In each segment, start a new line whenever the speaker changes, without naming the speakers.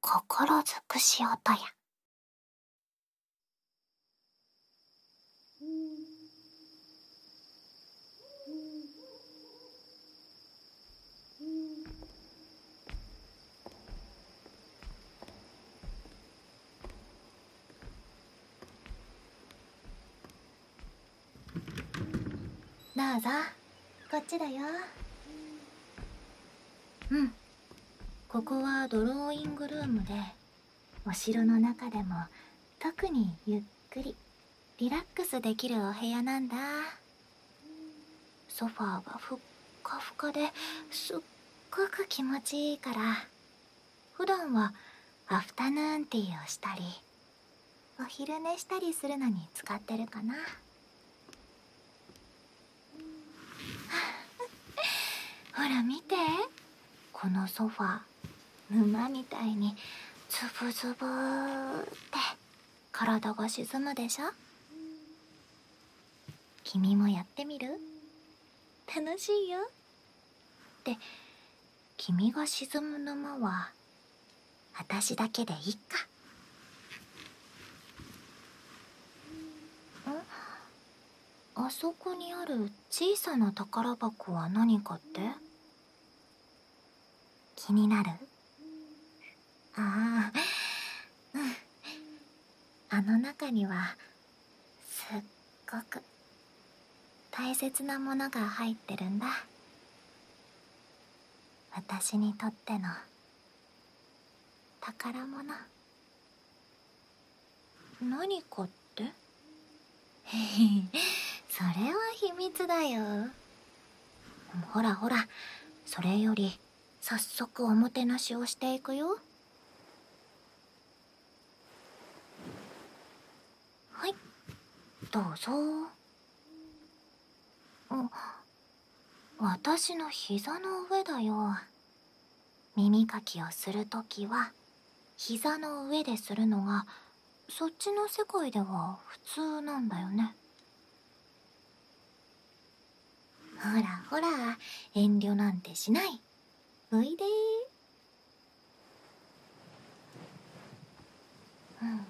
心づくし音や
どうぞ。こっちだようんここはドローイングルームでお城の中でも特にゆっくりリラックスできるお部屋なんだソファーがふっかふかですっごく気持ちいいから普段はアフタヌーンティーをしたりお昼寝したりするのに使ってるかな ほら見てこのソファ沼みたいにズブズブって体が沈むでしょ君もやってみる楽しいよって君が沈む沼は私だけでいっか。あそこにある小さな宝箱は何かって気になるああうんあの中にはすっごく大切なものが入ってるんだ私にとっての宝物何かってへへ それは秘密だよほらほらそれより早速おもてなしをしていくよはいどうぞあ私の膝の上だよ耳かきをするときは膝の上でするのがそっちの世界では普通なんだよねほらほら遠慮なんてしないおいでうん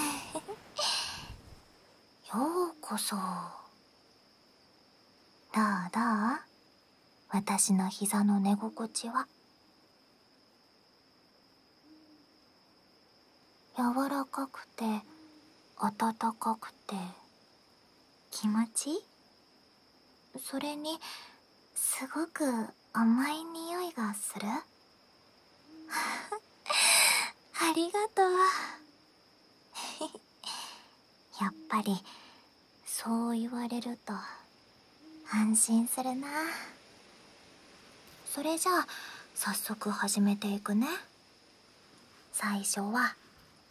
ようこそどうどう私の膝の寝心地は柔らかくて暖かくて気持ちそれにすごく甘い匂いがする ありがとう やっぱりそう言われると安心するなそれじゃあ早速始めていくね最初は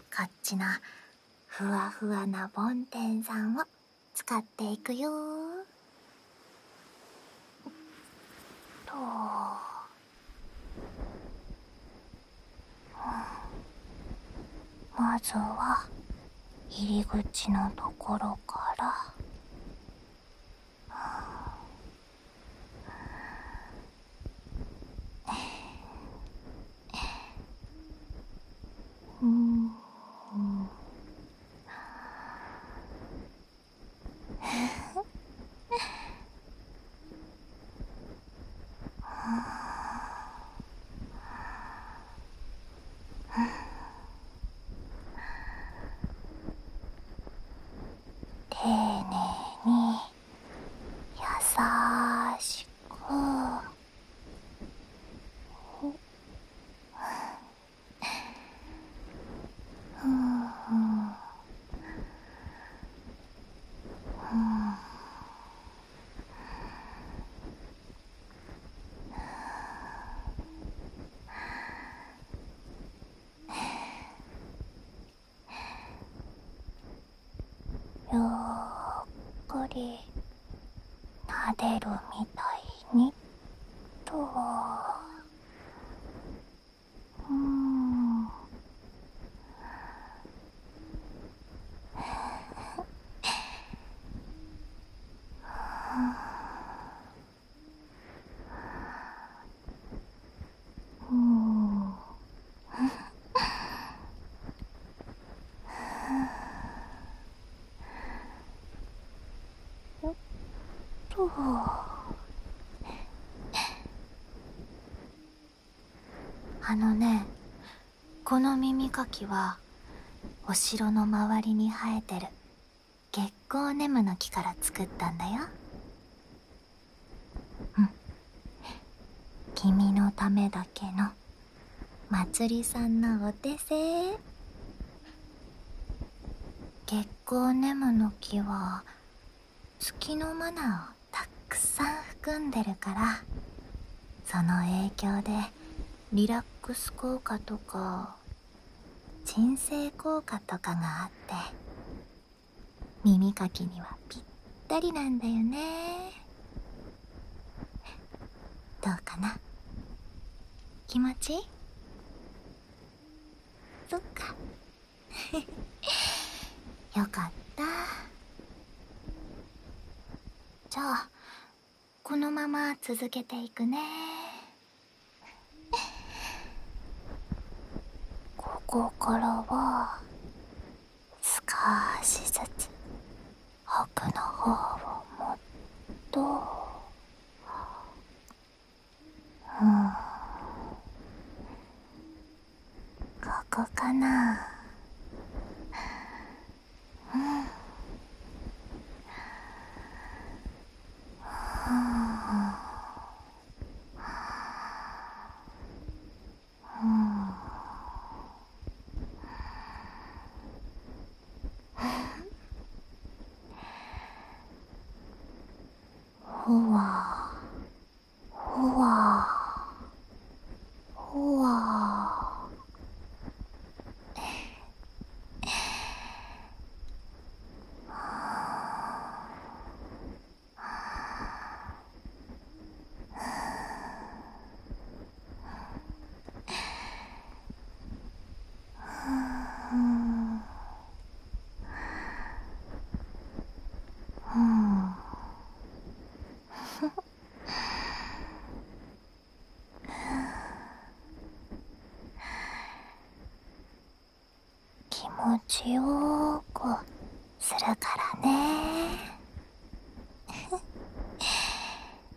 カッチなふわふわな梵天さんを使っていくよと、うん、まずは入り口のところから
うんうん丁寧に優しく。ううううう
ゆっくりなでるみたいに。とは
うんよっと
あのねこの耳かきはお城の周りに生えてる月光ネムの木から作ったんだようん君のためだけのまつりさんのお手製月光ネムの木は月のマナーをたくさん含んでるからその影響でリラックス効果とか鎮静効果とかがあって耳かきにはぴったりなんだよねどうかな気持ちいいそっか よかったじゃあこのまま続けていくねここからは少しずつ奥の方をもっとうん
ここかなうんうんほわほわほわ気持ちよくするからね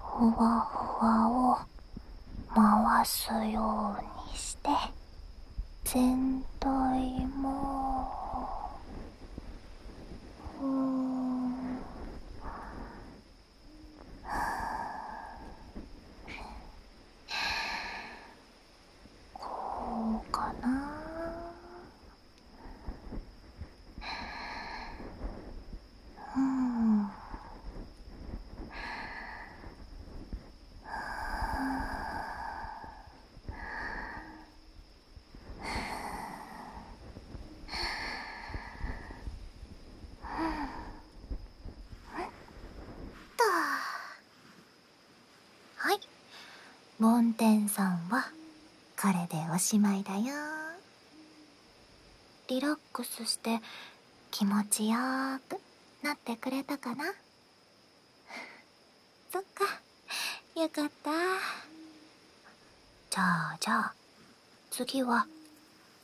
ふわふわを回すようにして全体もうん
こうかな
梵天さんはこれでおしまいだよ。リラックスして気持ちよーくなってくれたかな そっかよかったじゃあじゃあ次は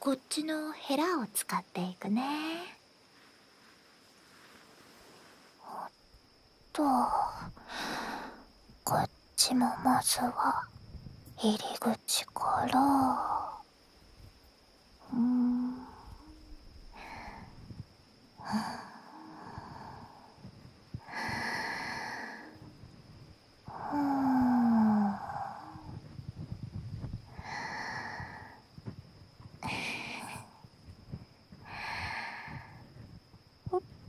こっちのヘラを使っていくねおっとこっちもまずは入
り口からうんううう。ん。ん。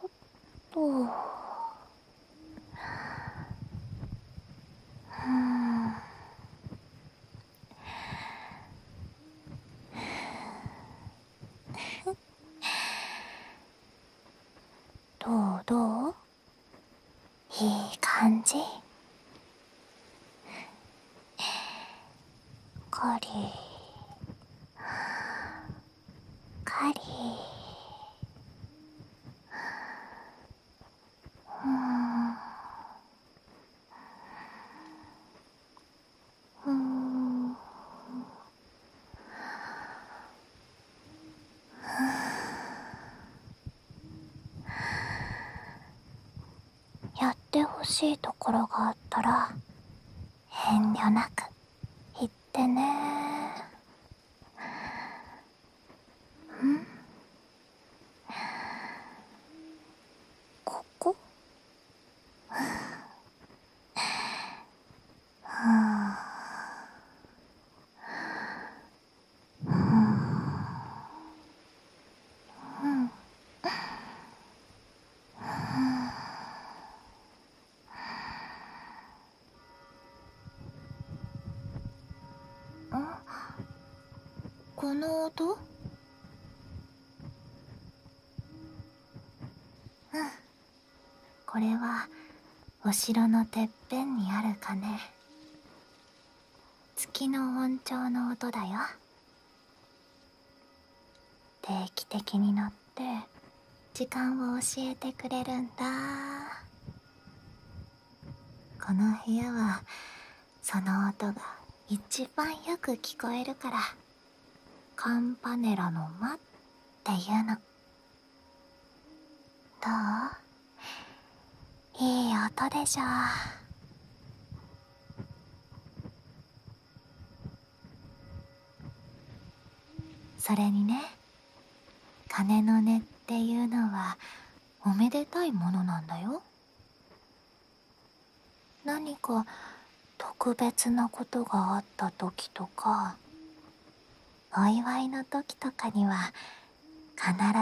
おっと。
うどうう？いい感じカリーか
りう
やってほしいところがあったら遠慮なく。行ってねん
ここはあ、うん、
この音うんこれはお城のてっぺんにある鐘月の音調の音だよ定期的に乗って時間を教えてくれるんだこの部屋はその音が一番よく聞こえるからカンパネラの間っていうのどういい音でしょう？それにね鐘の音っていうのはおめでたいものなんだよ何か特別なことがあった時とかお祝いの時とかには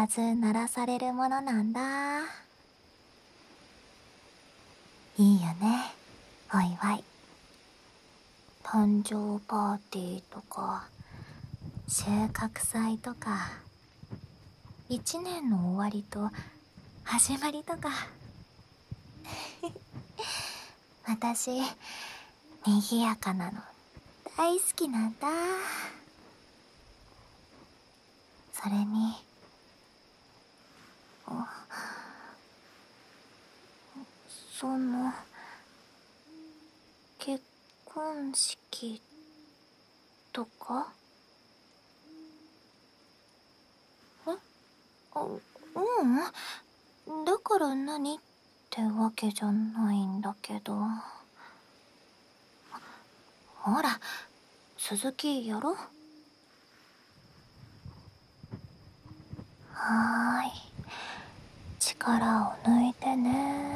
必ず鳴らされるものなんだいいよねお祝い誕生パーティーとか収穫祭とか一年の終わりと始まりとか 私にぎやかなの大好きなんだそれに
その結婚式
とかえっ？ううんだから何ってわけじゃないんだけどほら鈴木やろはーい力を抜いてねん。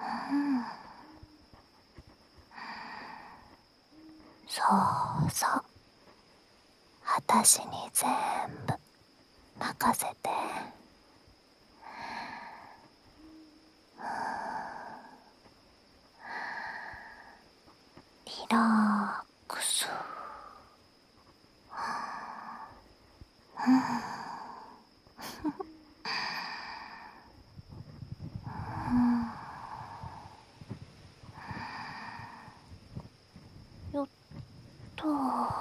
うん。
そうそう私にぜんぶ、任せて。う
いろくそはんよっと。は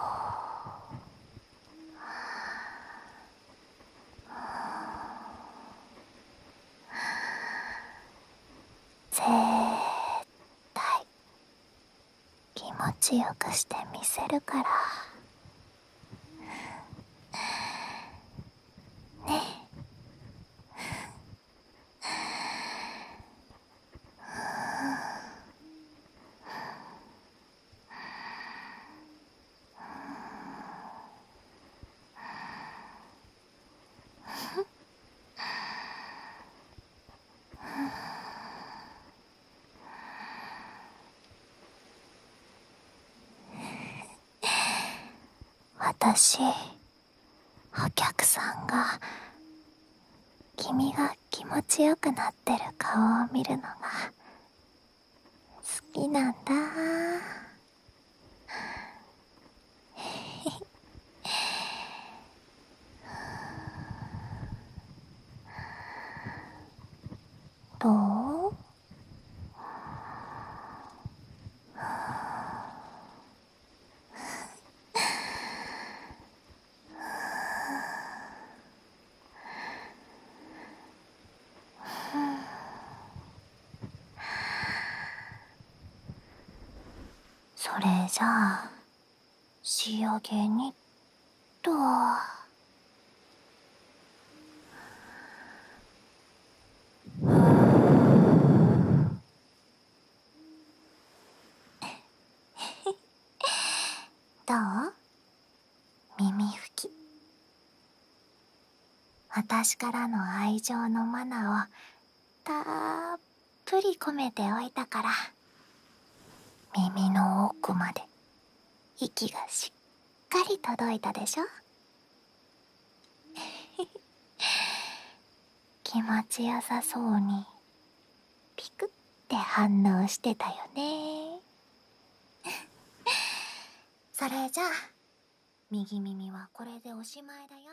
はぜったい。気持ちよくしてみせるからねえ 私お客さんが君が気持ちよくなってる顔を見るのが好きなんだ
どう
それじゃあ仕上げにっと。どう 耳拭き私からの愛情のマナーをたっぷとり込めておいたから耳の奥まで息がしっかり届いたでしょ 気持ちよさそうにピクって反応してたよね それじゃあ右耳はこれでおしまいだよ